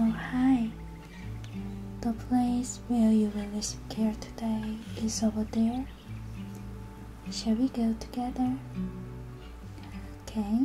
Oh, hi. The place where you will receive care today is over there. Shall we go together? Okay.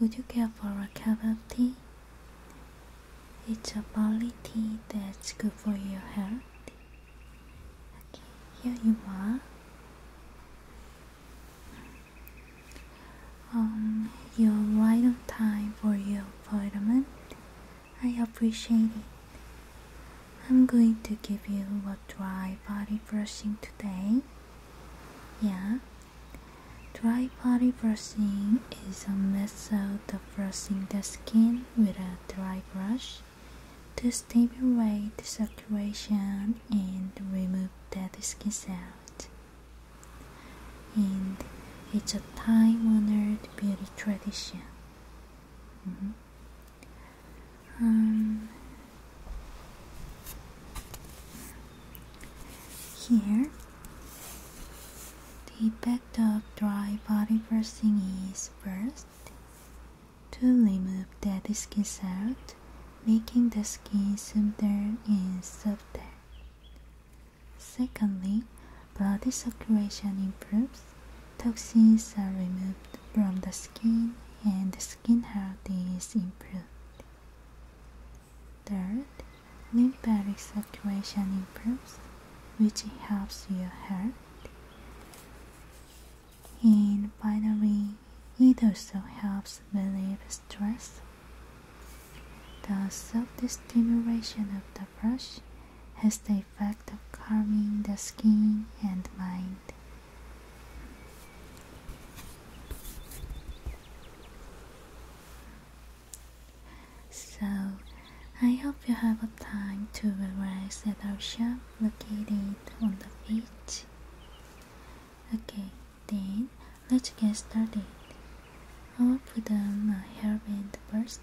Would you care for a cup of tea? It's a barley tea that's good for your health. Okay, here you are. Um, you're right time for your appointment. I appreciate it. I'm going to give you a dry body brushing today. Yeah. Dry body brushing is a method of brushing the skin with a dry brush to stimulate the circulation and remove dead skin cells and it's a time honored beauty tradition. Mm-hmm. Um, here, the effect of dry body brushing is first to remove dead skin cells making the skin smoother and softer. Secondly, blood circulation improves. Toxins are removed from the skin and the skin health is improved. Third, lymphatic circulation improves, which helps your heart. And finally, it also helps relieve stress. The soft stimulation of the brush has the effect of calming the skin and mind. So, I hope you have a time to relax at our shop located on the beach. Okay, then Let's get started. I will put on my hairband first.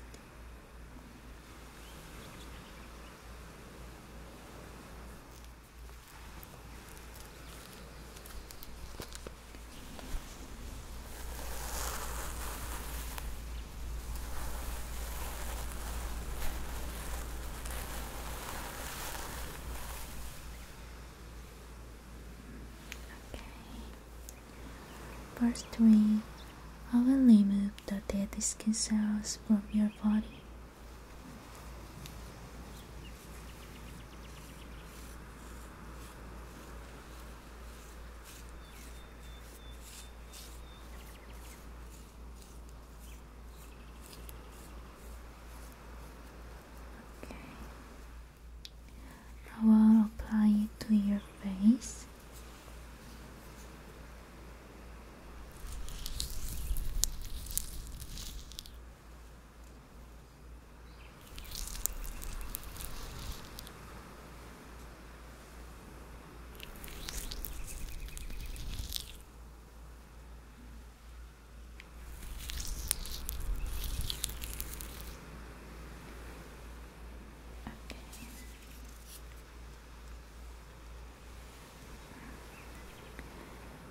Okay. Part 3 I will remove the dead skin cells from your body. Okay. I will apply it to your face.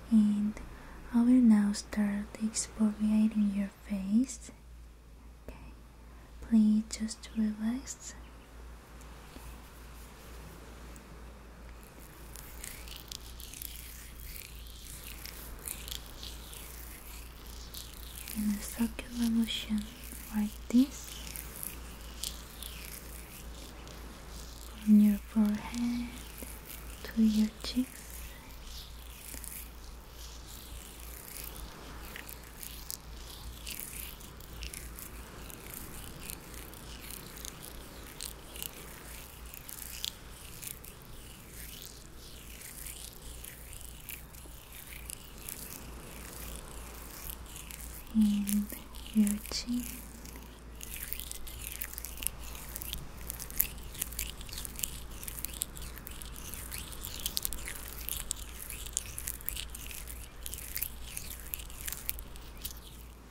And I will now start exfoliating your face. Okay. Please just relax in a circular motion like this from your forehead to your cheeks in your chin.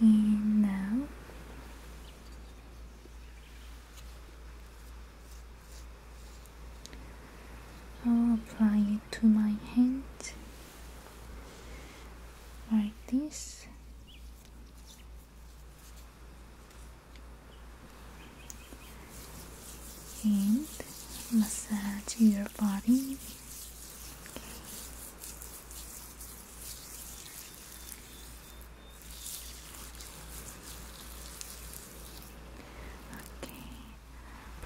now. I'll apply it to my hand like this and massage your body. Okay,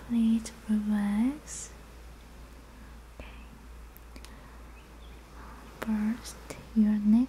please relax. Okay. First, your neck.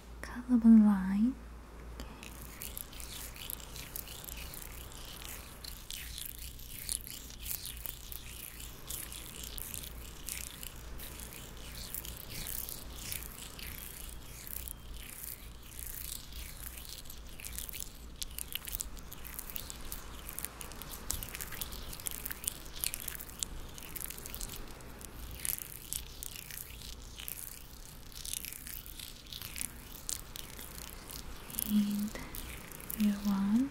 colorable line and your arms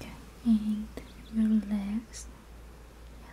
Okay, and your legs. Yeah.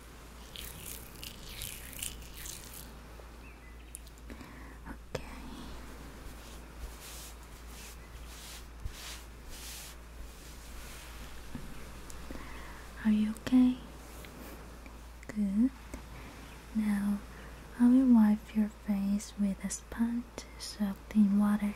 Okay. Are you okay? Good. Now I will wipe your face with a sponge soaked in water.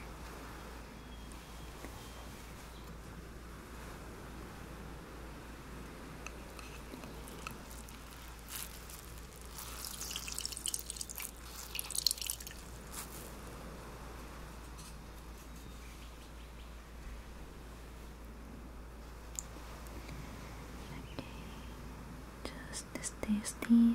Okay, just stay still.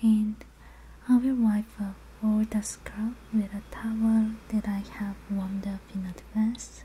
And I will wipe up all the scalp with a towel that I have warmed up in advance.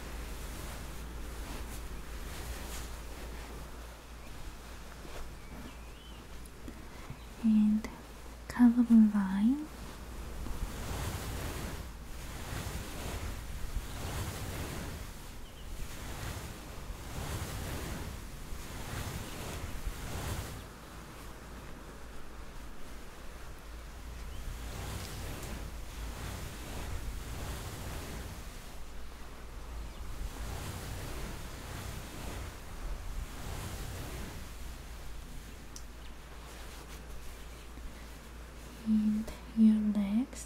and color line and your legs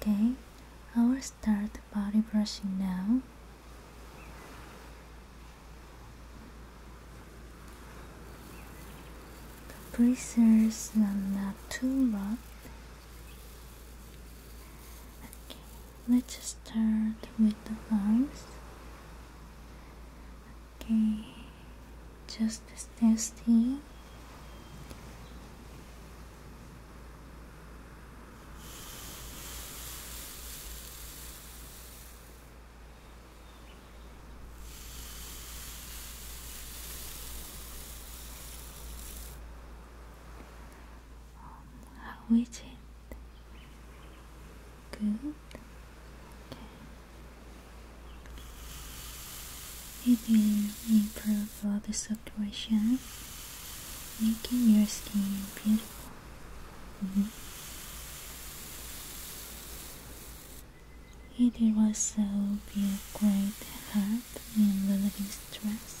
Okay, I will start body brushing now. The Bracers are not too rough. Okay, let's start with the arms. Okay, just stay still. How is it? Good. Okay. It will improve all the situation, making your skin beautiful. Mm-hmm. It will also be a great help in the living stress.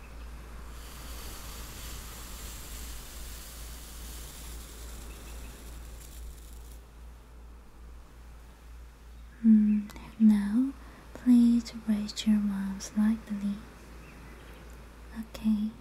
Mm, now, please raise your arm slightly. Okay.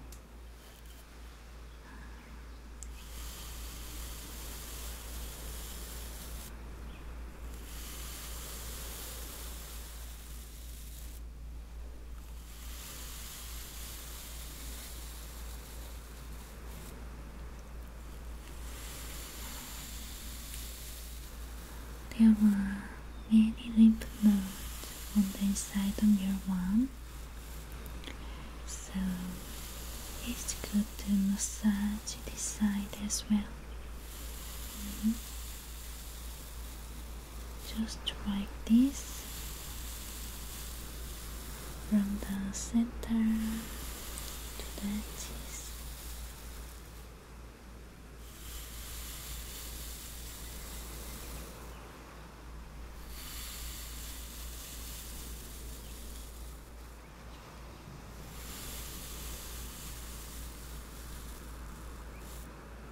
There are many lymph nodes on the inside of your arm, so it's good to massage this side as well. Mm-hmm just like this from the center to the edges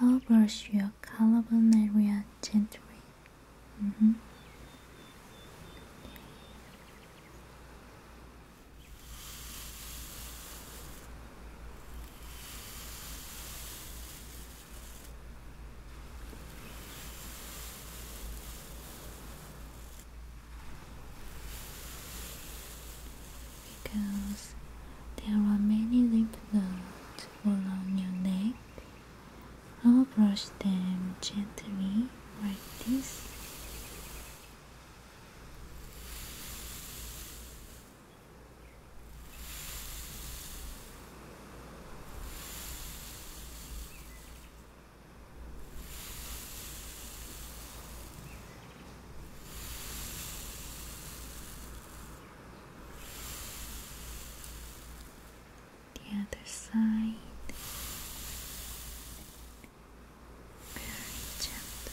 I'll brush your collarbone area gently. Mm -hmm. Because there are many lymph nodes along your neck. I will brush them gently like this the other side. Very gentle.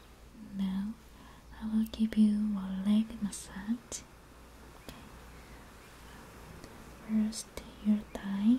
Now I will give you a leg massage. Okay. First, your thigh.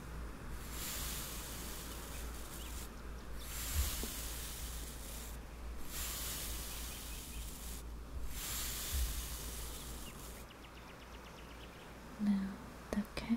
Now the Okay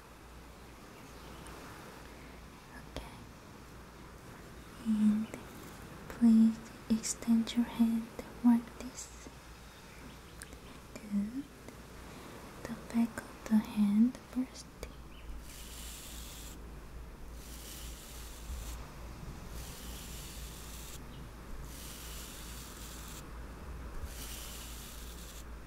Okay. And please extend your hand like this. Good. The back of the hand first.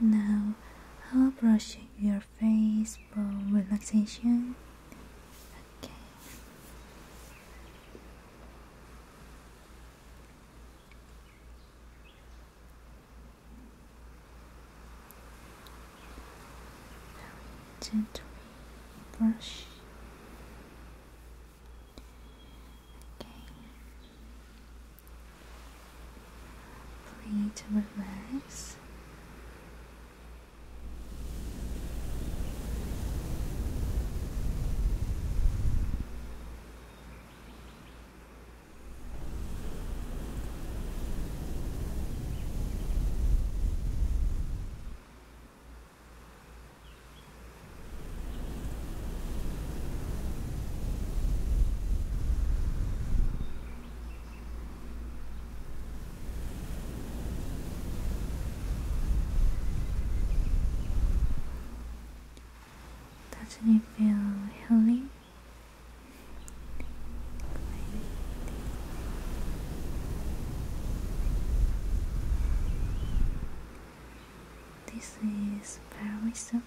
Now, I'll brush your face for relaxation? Okay very gently brush. Okay. Breathe, relax. Doesn't it feel healing this is very soft.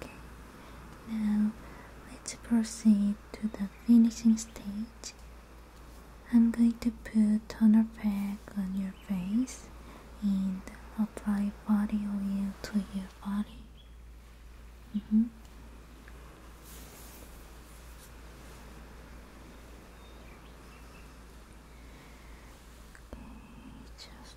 Okay, now let's proceed to the finishing stage. I'm going to put toner pack on your face and apply body oil to your body. Mm-hmm. Okay, just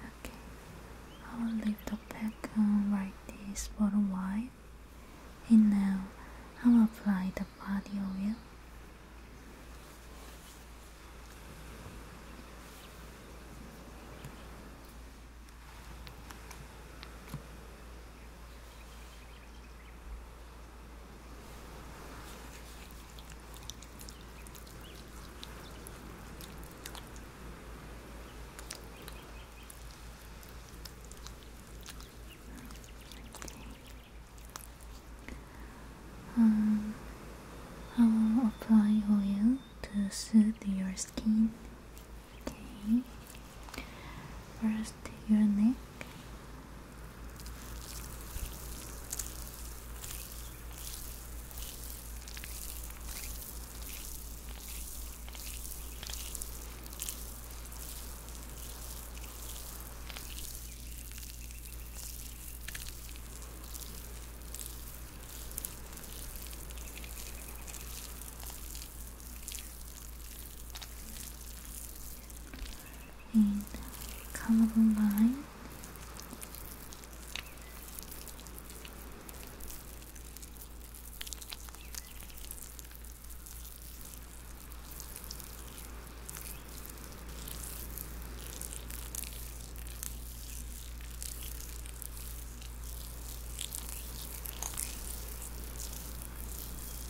Okay, I'll leave the pack like uh, this for a while, and now I'll apply the body oil. Um, I will apply oil to soothe your skin Okay. First, your neck in colorful line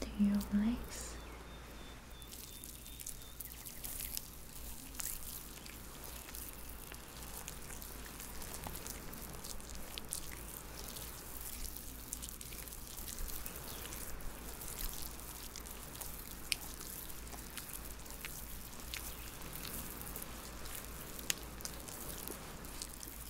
to your legs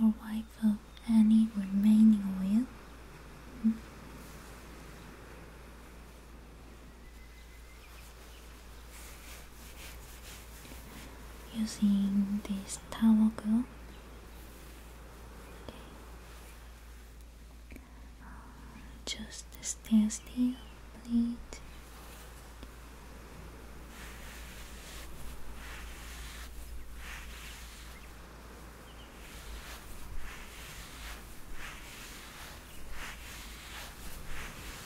Our wife of any remaining oil using this towel glue. Okay. Just stay still, please.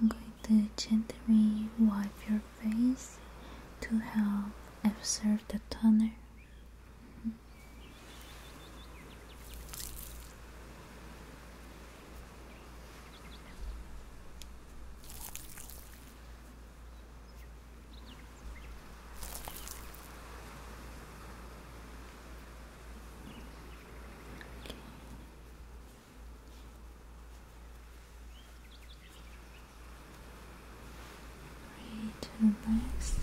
I'm going to gently wipe your face to help absorb the toner. Ready to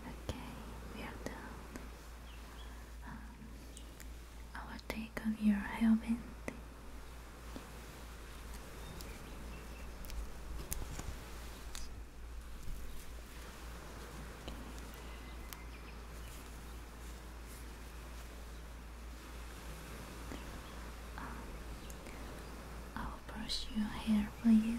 Okay, we are done. I um, will take off your helmet. Um, I'll brush your hair for you.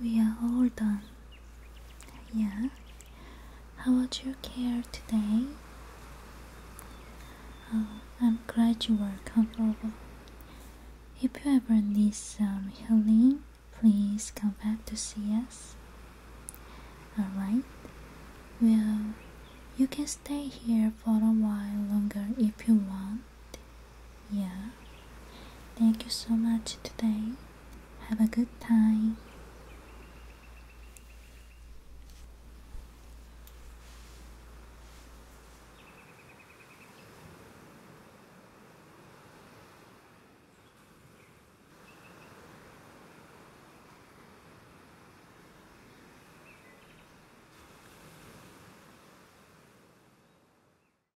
We are all done. Yeah? How was your care today? Oh, I'm glad you were comfortable. If you ever need some healing, please come back to see us. Alright? Well, you can stay here for a while longer if you want. Yeah. Thank you so much today. Have a good time.